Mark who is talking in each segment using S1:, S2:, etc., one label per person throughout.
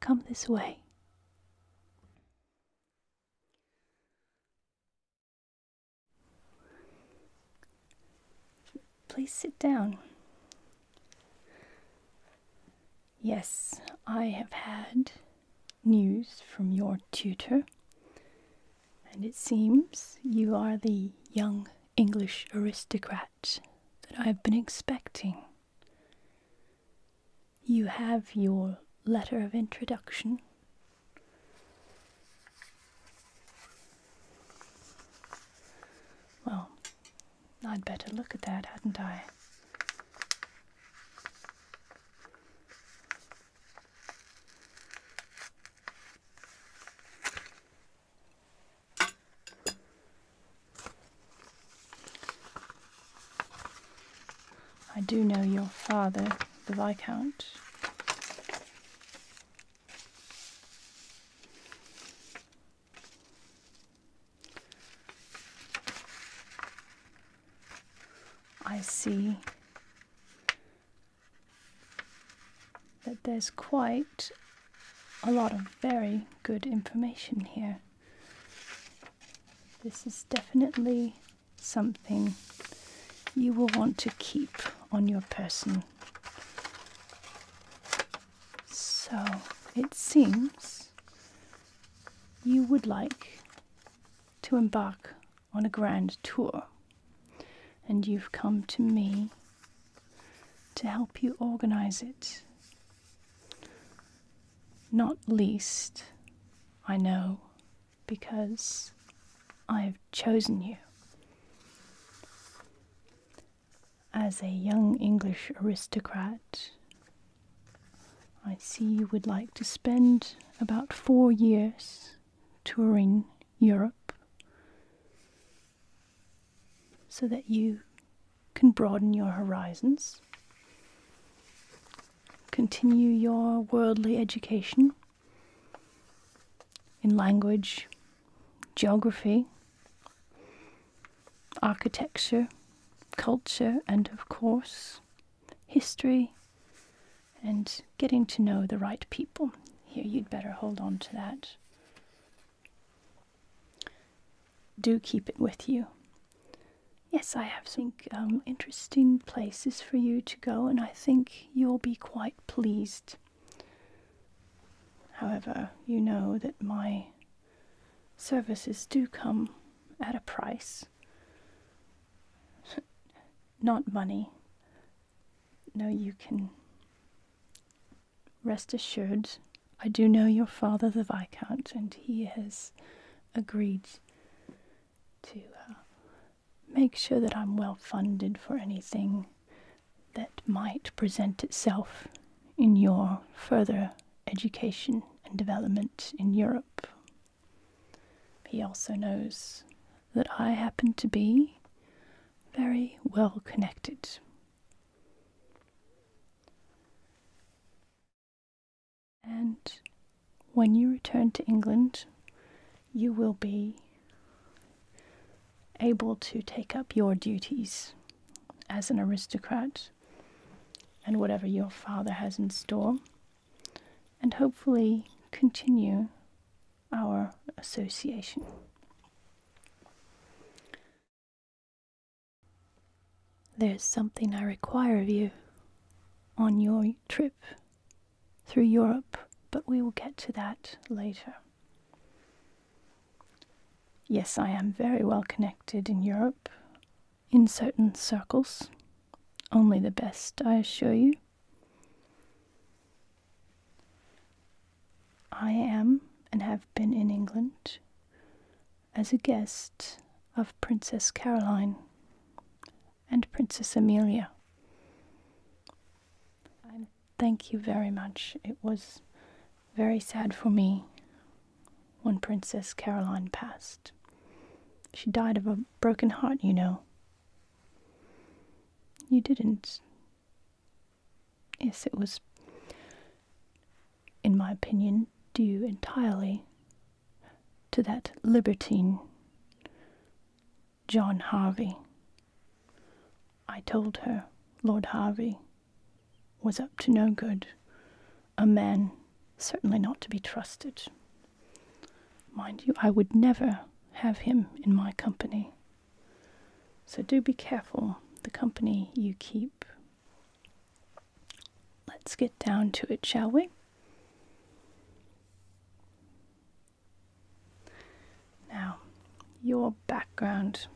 S1: Come this way. Please sit down. Yes, I have had news from your tutor, and it seems you are the young English aristocrat that I have been expecting. You have your letter of introduction. Well, I'd better look at that, hadn't I? I do know your father, the Viscount. I see that there's quite a lot of very good information here. This is definitely something you will want to keep on your person. So it seems you would like to embark on a grand tour, and you've come to me to help you organize it. Not least, I know, because I have chosen you. As a young English aristocrat, I see you would like to spend about four years touring Europe so that you can broaden your horizons, continue your worldly education in language geography, architecture, culture, and of course, history, and getting to know the right people. Here, you'd better hold on to that. Do keep it with you. Yes, I have some um, interesting places for you to go, and I think you'll be quite pleased However, you know that my services do come at a price. Not money. No, you can rest assured. I do know your father, the Viscount, and he has agreed to uh, make sure that I'm well funded for anything that might present itself in your further education and development in Europe. He also knows that I happen to be very well connected. And when you return to England, you will be able to take up your duties as an aristocrat and whatever your father has in store, and hopefully continue our association. There's something I require of you on your trip through Europe, but we will get to that later. Yes, I am very well connected in Europe, in certain circles. Only the best, I assure you. I am and have been in England as a guest of Princess Caroline and Princess Amelia. i Thank you very much. It was very sad for me when Princess Caroline passed. She died of a broken heart, you know. You didn't. Yes, it was, in my opinion, due entirely to that libertine, John Harvey. I told her, Lord Harvey, was up to no good, a man certainly not to be trusted. Mind you, I would never have him in my company. So do be careful the company you keep. Let's get down to it, shall we? Now, your background.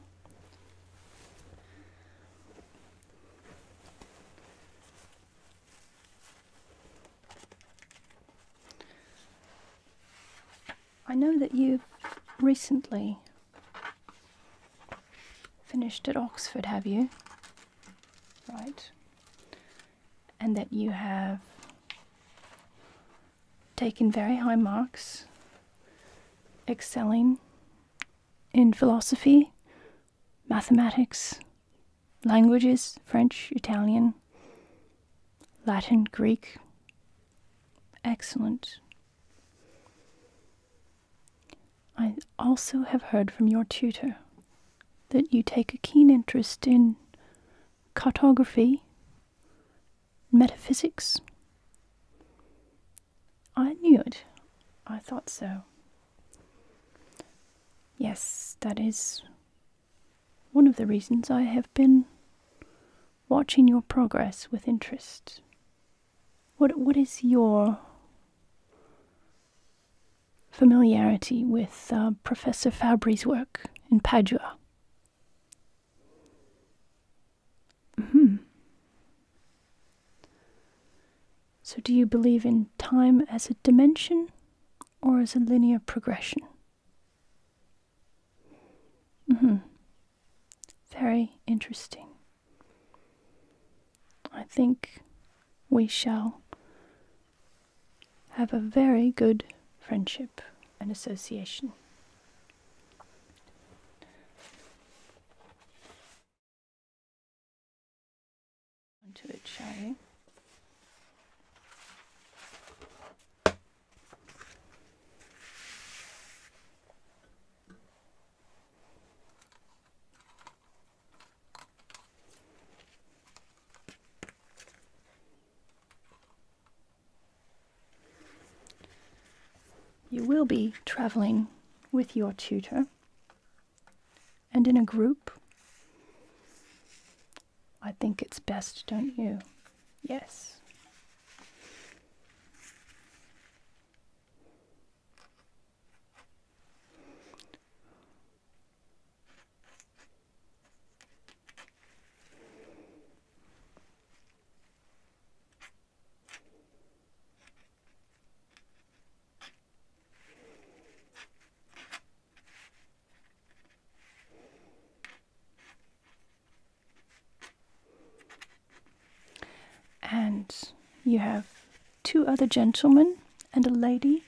S1: I know that you've recently finished at Oxford, have you? Right. And that you have taken very high marks excelling in philosophy, mathematics, languages French, Italian, Latin, Greek. Excellent. I also have heard from your tutor that you take a keen interest in cartography metaphysics? I knew it. I thought so. Yes, that is one of the reasons I have been watching your progress with interest. What what is your familiarity with uh, Professor Fabry's work in Padua? Hmm. So, do you believe in time as a dimension or as a linear progression? Hmm. Very interesting. I think we shall have a very good friendship and association onto a tray. You will be traveling with your tutor and in a group. I think it's best, don't you? Yes. And you have two other gentlemen and a lady.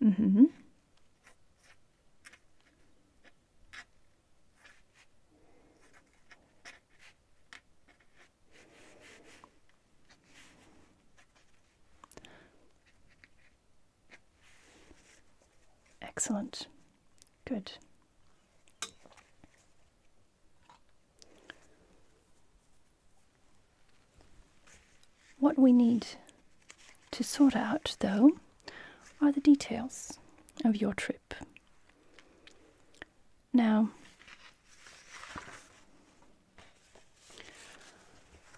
S1: Mm-hmm. Excellent. Good. What we need to sort out, though, are the details of your trip. Now,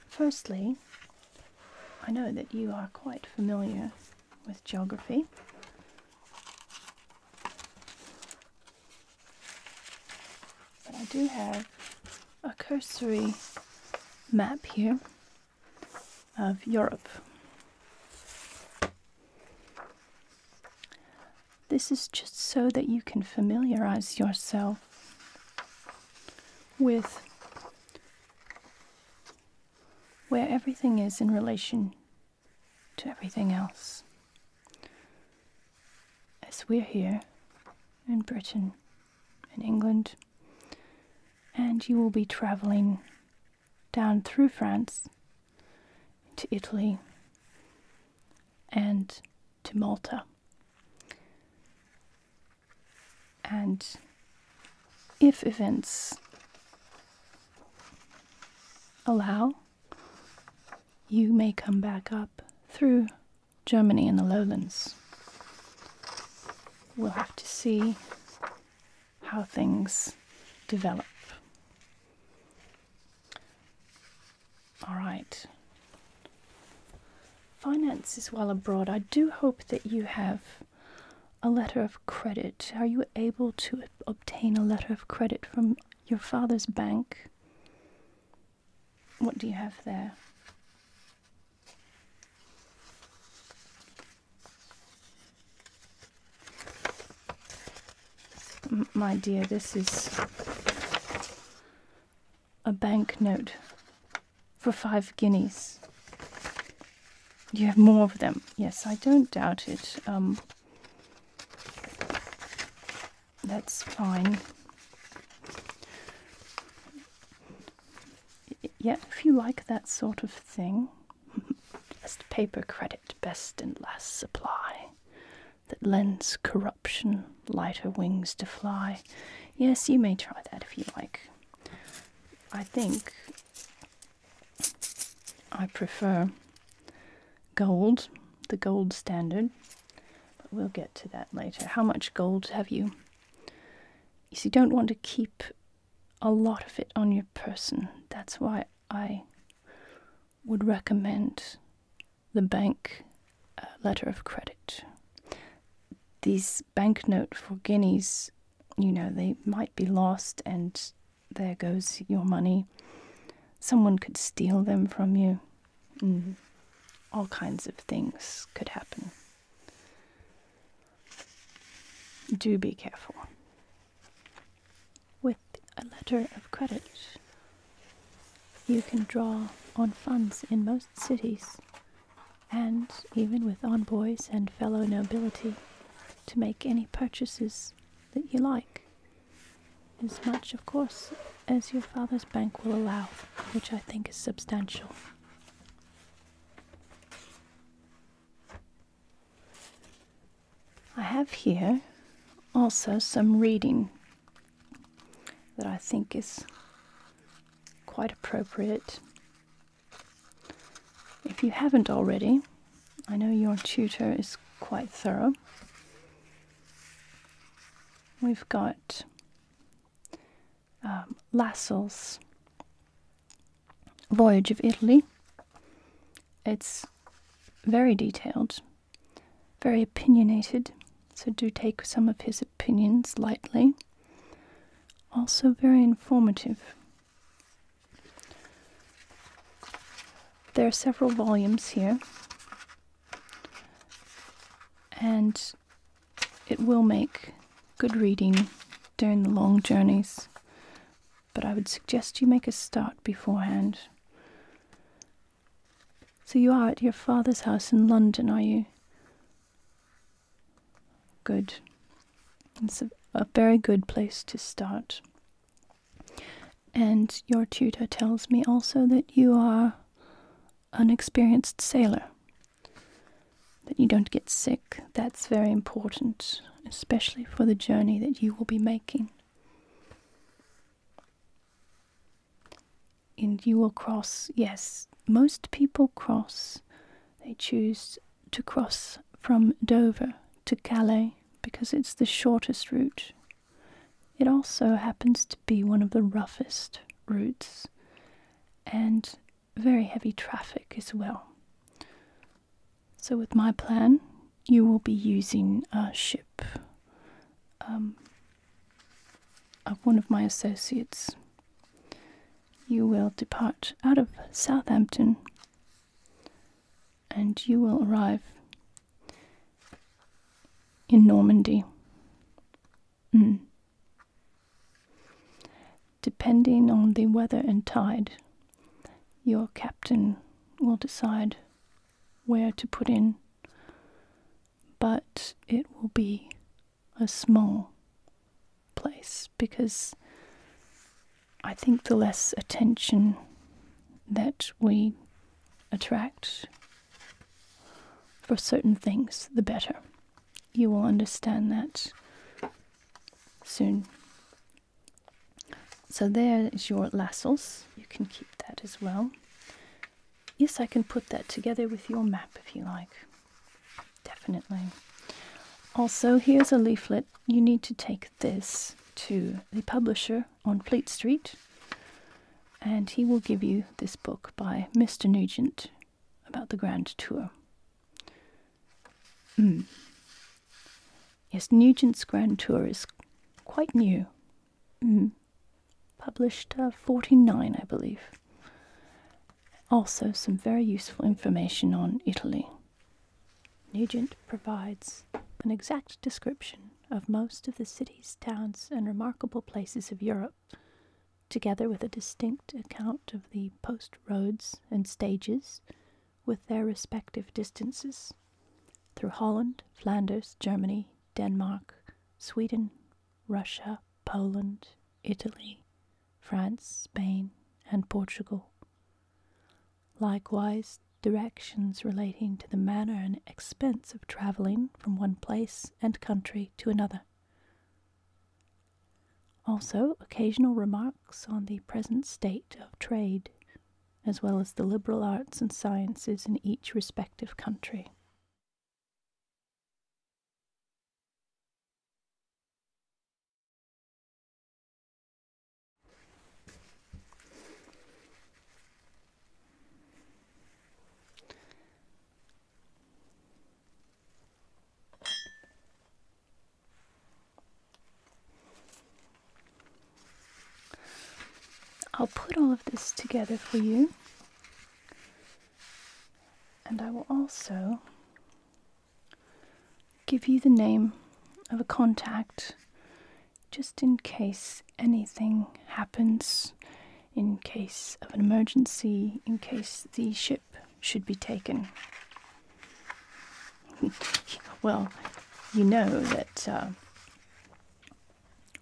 S1: firstly, I know that you are quite familiar with geography. But I do have a cursory map here of Europe. This is just so that you can familiarize yourself with where everything is in relation to everything else. As we're here in Britain, in England, and you will be traveling down through France to Italy and to Malta. And if events allow, you may come back up through Germany and the lowlands. We'll have to see how things develop. All right. Finances while abroad. I do hope that you have a letter of credit. Are you able to obtain a letter of credit from your father's bank? What do you have there? my dear, this is a banknote for five guineas. You have more of them. Yes, I don't doubt it. Um, that's fine. Yeah, if you like that sort of thing. Best paper credit best and last supply that lends corruption lighter wings to fly. Yes, you may try that if you like. I think I prefer gold, the gold standard, but we'll get to that later. How much gold have you? You see, don't want to keep a lot of it on your person. That's why I would recommend the bank uh, letter of credit. These banknote for guineas, you know, they might be lost and there goes your money. Someone could steal them from you. Mm-hmm. All kinds of things could happen do be careful with a letter of credit. You can draw on funds in most cities, and even with envoys and fellow nobility, to make any purchases that you like, as much, of course, as your father's bank will allow, which I think is substantial. I have here also some reading that I think is quite appropriate. If you haven't already, I know your tutor is quite thorough. We've got um, Voyage of Italy. It's very detailed, very opinionated, so do take some of his opinions lightly. Also, very informative. There are several volumes here, and it will make good reading during the long journeys but I would suggest you make a start beforehand. So, you are at your father's house in London, are you? Good. It's a, very good place to start. And your tutor tells me also that you are an experienced sailor that you don't get sick. That's very important, especially for the journey that you will be making. And you will cross, yes, most people cross. They choose to cross from Dover to Calais because it's the shortest route. It also happens to be one of the roughest routes, and very heavy traffic as well. So, with my plan, you will be using a ship. Um, of one of my associates. You will depart out of Southampton and you will arrive in Normandy. Mm. Depending on the weather and tide, your captain will decide where to put in, but it will be a small place because I think the less attention that we attract for certain things, the better. You will understand that soon. So there is your lascels. You can keep that as well. Yes, I can put that together with your map if you like. Definitely. Also, here's a leaflet. You need to take this to the publisher on Fleet Street, and he will give you this book by Mr. Nugent about the Grand Tour. Hmm. Yes, Nugent's Grand Tour is quite new. Hmm. Published uh, 49, I believe. Also, some very useful information on Italy. Nugent provides an exact description of most of the cities, towns, and remarkable places of Europe, together with a distinct account of the post roads and stages with their respective distances through Holland, Flanders, Germany, Denmark, Sweden, Russia, Poland, Italy, France, Spain, and Portugal. Likewise, directions relating to the manner and expense of travelling from one place and country to another. Also, occasional remarks on the present state of trade, as well as the liberal arts and sciences in each respective country. I'll put all of this together for you, and I will also give you the name of a contact just in case anything happens, in case of an emergency, in case the ship should be taken. well, you know that uh,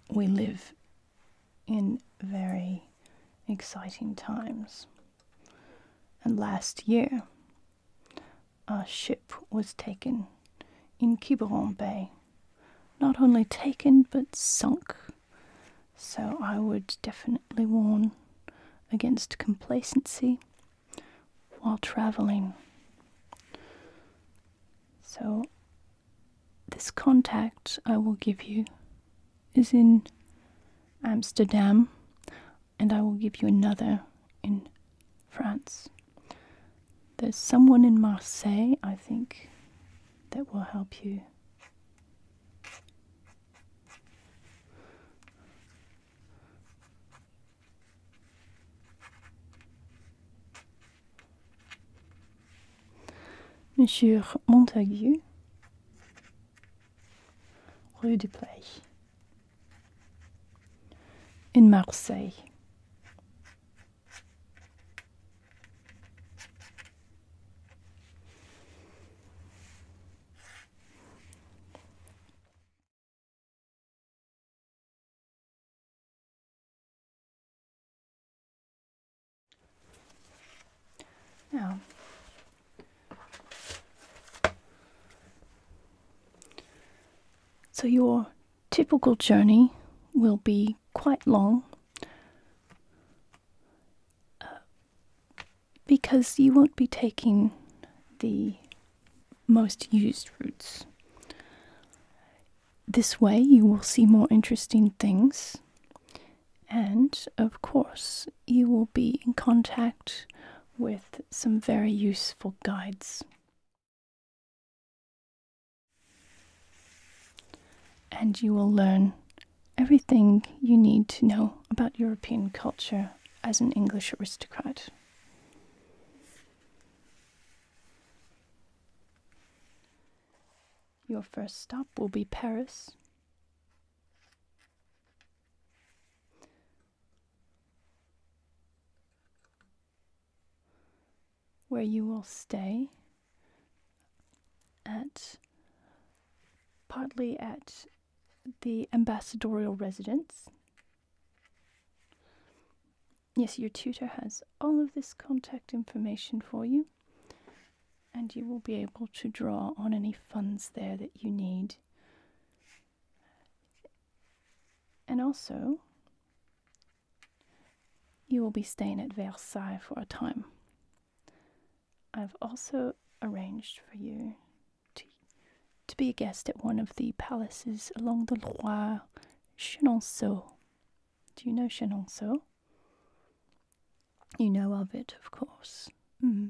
S1: we live in very exciting times. And last year, a ship was taken in Quiberon Bay. Not only taken, but sunk. So I would definitely warn against complacency while traveling. So, this contact I will give you is in Amsterdam, and I will give you another in France. There's someone in Marseille, I think, that will help you. Monsieur Montagu, rue du Play, in Marseille. Now, so your typical journey will be quite long uh, because you won't be taking the most used routes. This way, you will see more interesting things, and of course, you will be in contact with some very useful guides. And you will learn everything you need to know about European culture as an English aristocrat. Your first stop will be Paris. Where you will stay at partly at the ambassadorial residence Yes, your tutor has all of this contact information for you, and you will be able to draw on any funds there that you need. And also, you will be staying at Versailles for a time. I've also arranged for you to be a guest at one of the palaces along the Loire, Chenonceau. Do you know Chenonceau? You know of it, of course. Mm-hmm.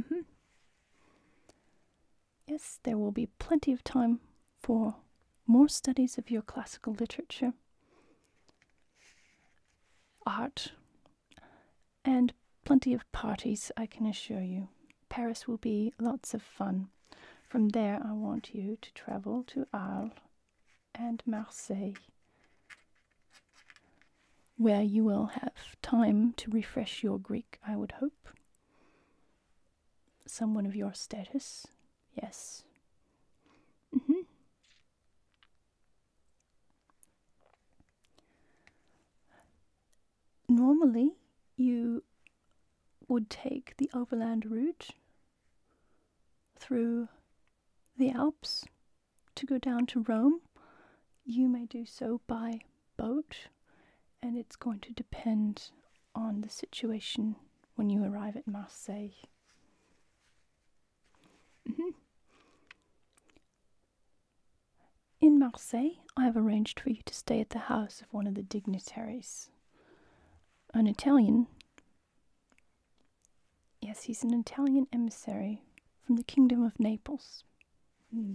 S1: Mm-hmm. Yes, there will be plenty of time for more studies of your classical literature, art, and plenty of parties, I can assure you. Paris will be lots of fun. From there, I want you to travel to Arles and Marseille, where you will have time to refresh your Greek, I would hope. Someone of your status Yes. Mm-hmm. Normally, you would take the overland route through the Alps to go down to Rome. You may do so by boat, and it's going to depend on the situation when you arrive at Marseille. Mm-hmm. In Marseille, I have arranged for you to stay at the house of one of the dignitaries. An Italian. Yes, he's an Italian emissary from the Kingdom of Naples. Hmm.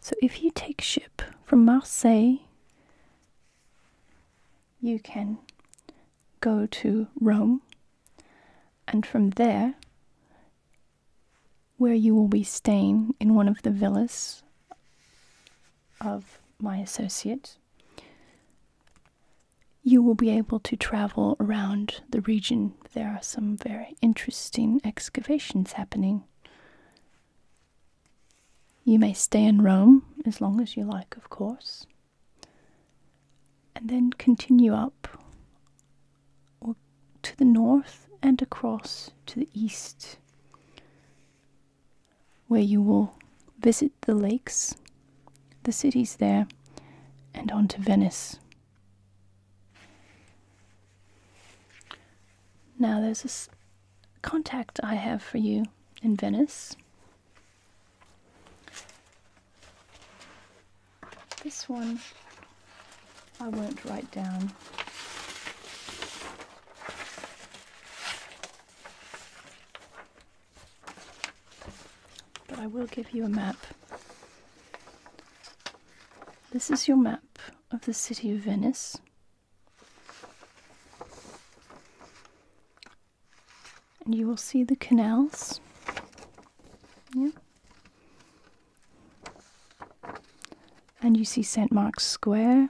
S1: So if you take ship from Marseille, you can go to Rome, and from there, where you will be staying in one of the villas of my associate, you will be able to travel around the region. There are some very interesting excavations happening. You may stay in Rome as long as you like, of course, and then continue up or to the north and across to the east, where you will visit the lakes, the cities there, and on to Venice. Now, there's a contact I have for you in Venice. This one I won't write down. But I will give you a map. This is your map of the city of Venice. And you will see the canals. Yeah. And you see St. Mark's Square,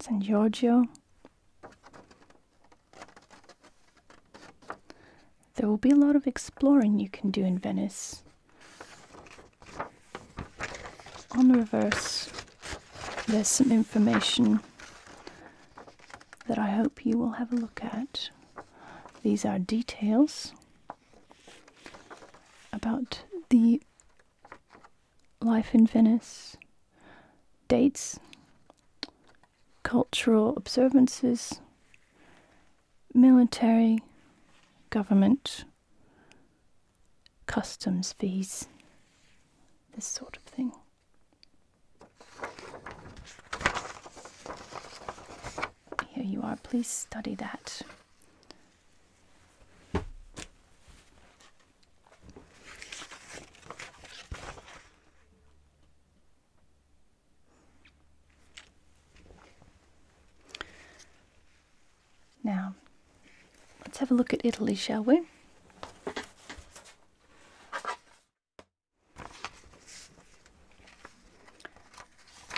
S1: San Giorgio. There will be a lot of exploring you can do in Venice. On the reverse, there's some information that I hope you will have a look at. These are details about the life in Venice, dates, cultural observances, military, government, customs fees, this sort of thing. Here you are, please study that. Now, let's have a look at Italy, shall we?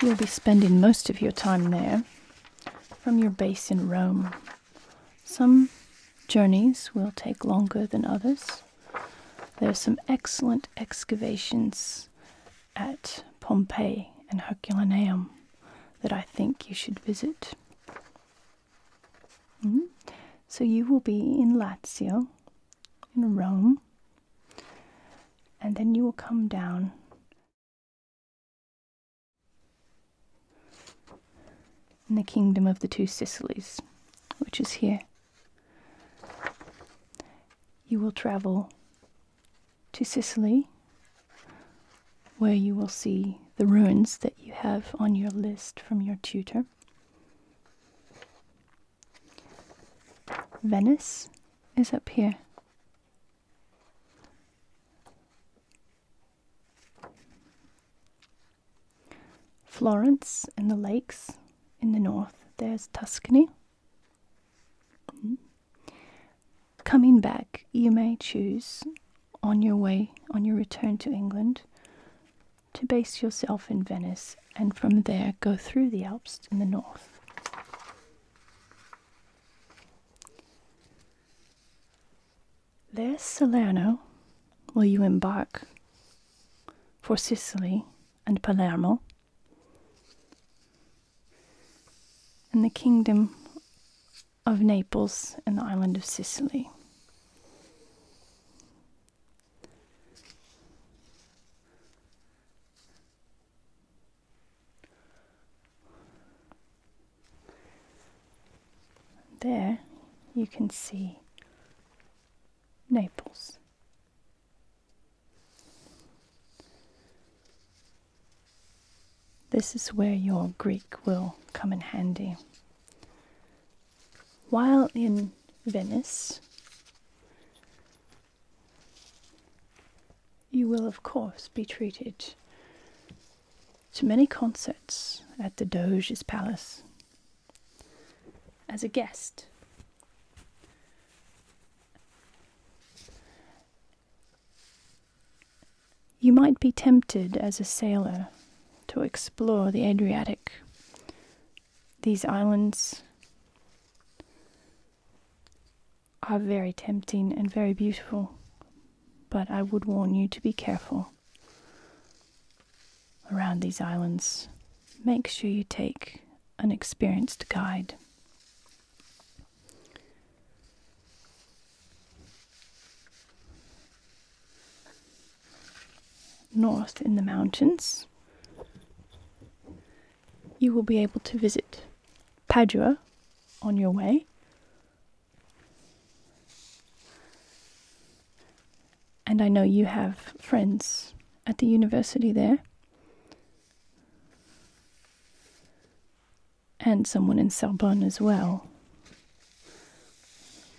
S1: You'll be spending most of your time there from your base in Rome. Some journeys will take longer than others. There are some excellent excavations at Pompeii and Herculaneum that I think you should visit. Hmm? So you will be in Lazio, in Rome, and then you will come down. In the kingdom of the two Sicilies, which is here. You will travel to Sicily, where you will see the ruins that you have on your list from your tutor. Venice is up here. Florence and the lakes in the north. There's Tuscany. Mm. Coming back, you may choose on your way, on your return to England, to base yourself in Venice and from there go through the Alps in the north. There, Salerno, will you embark for Sicily and Palermo and the kingdom of Naples and the island of Sicily. There you can see Naples. This is where your Greek will come in handy. While in Venice, you will, of course, be treated to many concerts at the Doge's Palace as a guest. You might be tempted as a sailor to explore the Adriatic, these islands. Are very tempting and very beautiful, but I would warn you to be careful around these islands. Make sure you take an experienced guide north in the mountains, you will be able to visit Padua on your way. And I know you have friends at the university there and someone in Sorbonne as well,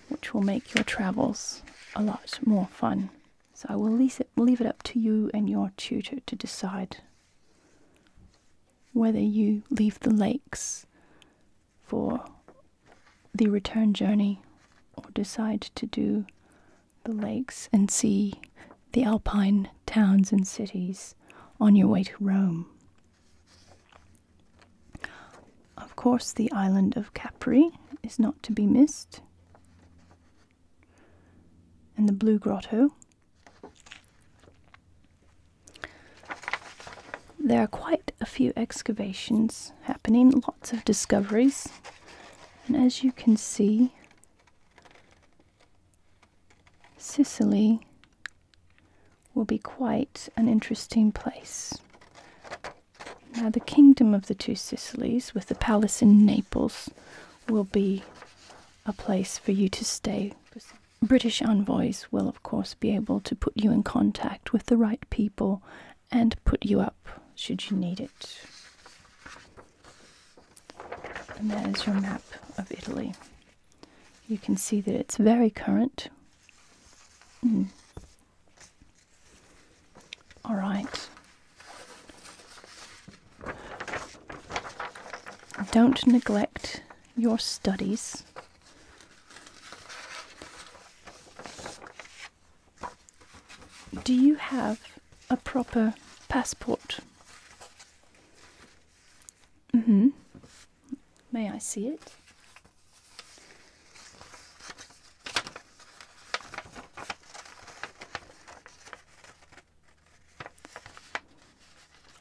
S1: which will make your travels a lot more fun. So I will leave it, up to you and your tutor to decide whether you leave the lakes for the return journey or decide to do the lakes and see the Alpine towns and cities on your way to Rome. Of course, the island of Capri is not to be missed, and the Blue Grotto. There are quite a few excavations happening, lots of discoveries, and as you can see, Sicily will be quite an interesting place. Now, the kingdom of the two Sicilies, with the palace in Naples, will be a place for you to stay. British envoys will, of course, be able to put you in contact with the right people and put you up should you need it. And there's your map of Italy. You can see that it's very current. Mm. All right. Don't neglect your studies. Do you have a proper passport? Mm hmm. May I see it?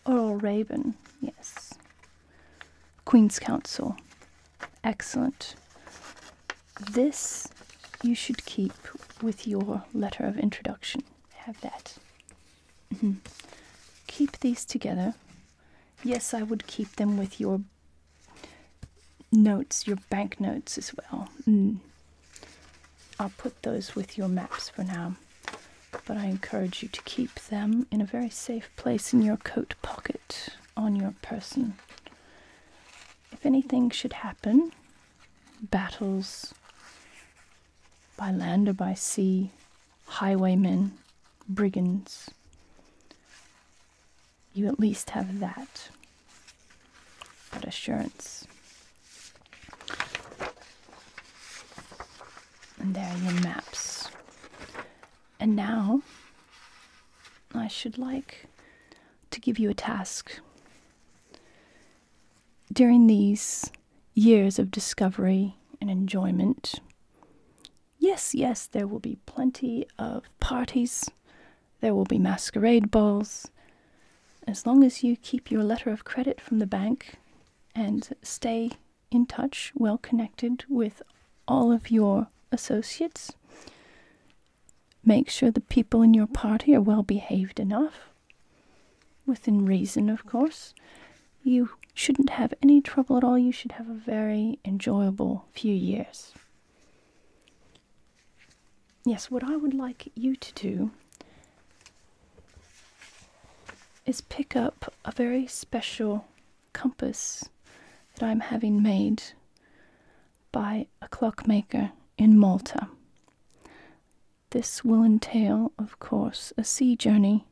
S1: Earl Raven, yes. Queen's Counsel, excellent. This you should keep with your letter of introduction. Have that. Mm-hmm. keep these together. Yes, I would keep them with your notes, your bank notes as well. Mm. I'll put those with your maps for now, but I encourage you to keep them in a very safe place in your coat pocket on your person. If anything should happen, battles, by land or by sea, highwaymen, brigands. You at least have that, that assurance. And there are your maps. And now, I should like to give you a task. During these years of discovery and enjoyment. Yes, yes, there will be plenty of parties, there will be masquerade balls. As long as you keep your letter of credit from the bank and stay in touch, well connected with all of your associates, make sure the people in your party are well behaved enough within reason, of course, you shouldn't have any trouble at all. You should have a very enjoyable few years. Yes, what I would like you to do is pick up a very special compass that I'm having made by a clockmaker in Malta. This will entail, of course, a sea journey.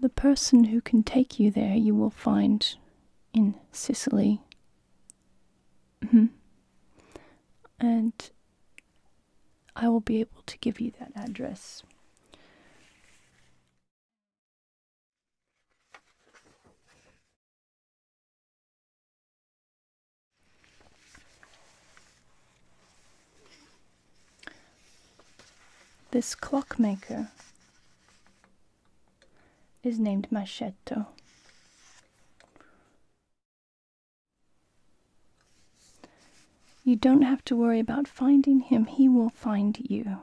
S1: The person who can take you there you will find in Sicily. Mm-hmm. and I will be able to give you that address. This clockmaker is named Machetto. You don't have to worry about finding him, he will find you.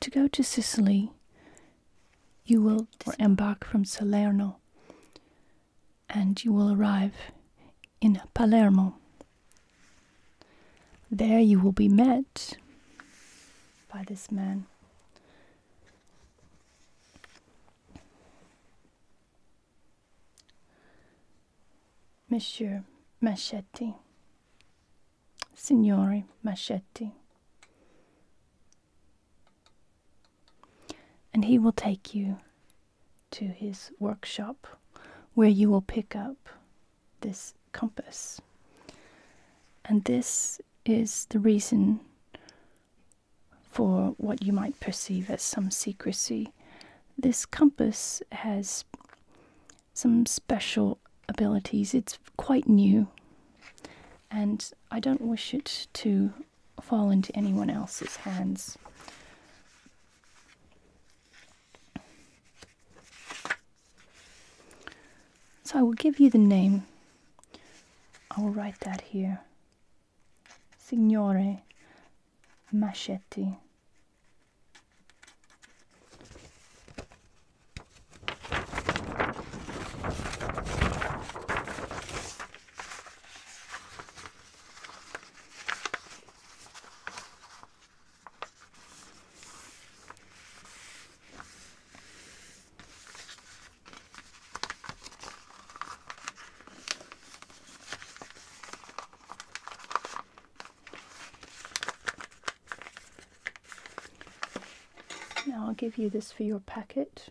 S1: To go to Sicily, you will, embark from Salerno, and you will arrive in Palermo. There you will be met by this man. Monsieur Machetti, Signore Machetti. And he will take you to his workshop where you will pick up this compass. And this is the reason for what you might perceive as some secrecy. This compass has some special abilities. It's quite new, and I don't wish it to fall into anyone else's hands. So I will give you the name. I will write that here. Signore Machetti. Now I'll give you this for your packet.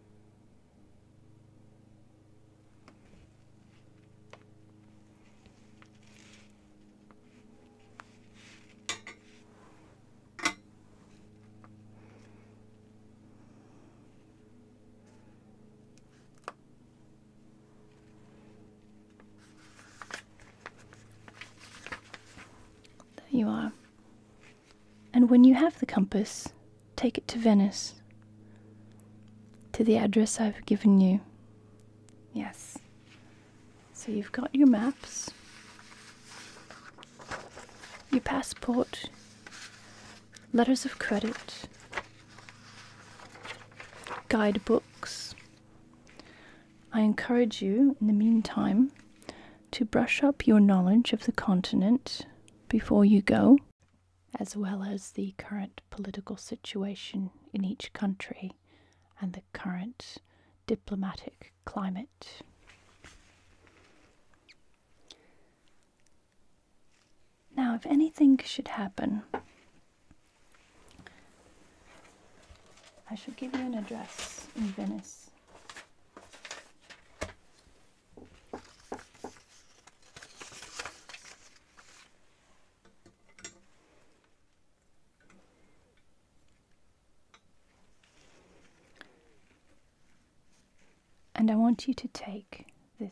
S1: There you are and when you have the compass, take it to Venice, to the address I've given you. Yes. So you've got your maps, your passport, letters of credit, guidebooks. I encourage you, in the meantime, to brush up your knowledge of the continent before you go, as well as the current political situation in each country and the current diplomatic climate. Now, if anything should happen, I should give you an address in Venice and I want you to take this.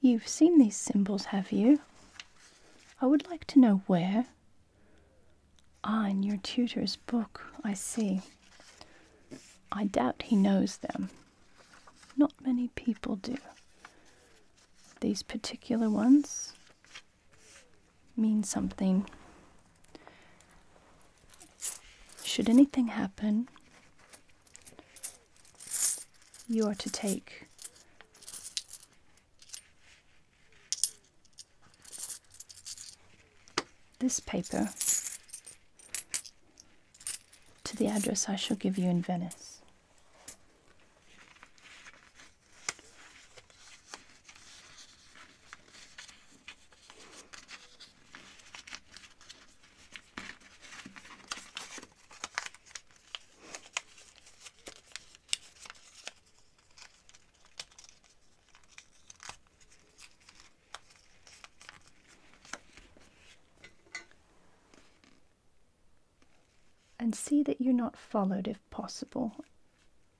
S1: You've seen these symbols, have you? I would like to know where. Ah, in your tutor's book, I see. I doubt he knows them. Not many people do. These particular ones mean something. Should anything happen, you are to take this paper to the address I shall give you in Venice. And see that you're not followed if possible.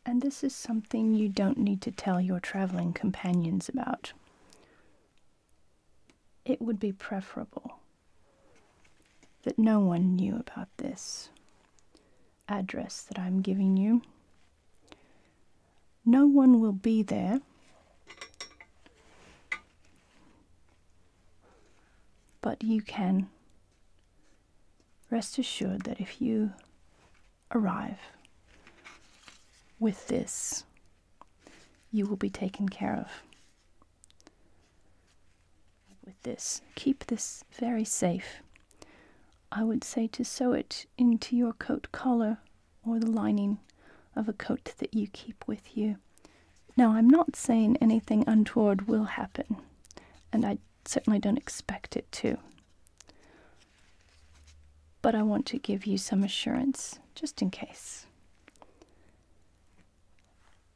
S1: And this is something you don't need to tell your traveling companions about. It would be preferable that no one knew about this address that I'm giving you. No one will be there. But you can rest assured that if you arrive with this, you will be taken care of. With this, keep this very safe. I would say to sew it into your coat collar or the lining of a coat that you keep with you. Now, I'm not saying anything untoward will happen, and I certainly don't expect it to. But I want to give you some assurance, just in case.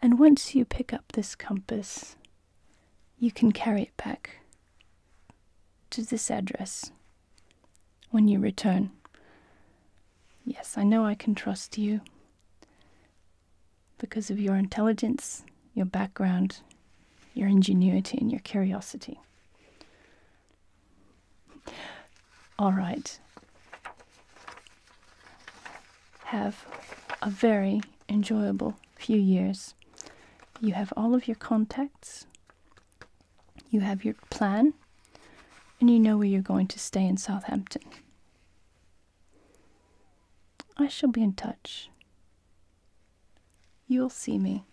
S1: And once you pick up this compass, you can carry it back to this address when you return. Yes, I know I can trust you because of your intelligence, your background, your ingenuity, and your curiosity. All right have a very enjoyable few years. You have all of your contacts, you have your plan, and you know where you're going to stay in Southampton. I shall be in touch. You'll see me.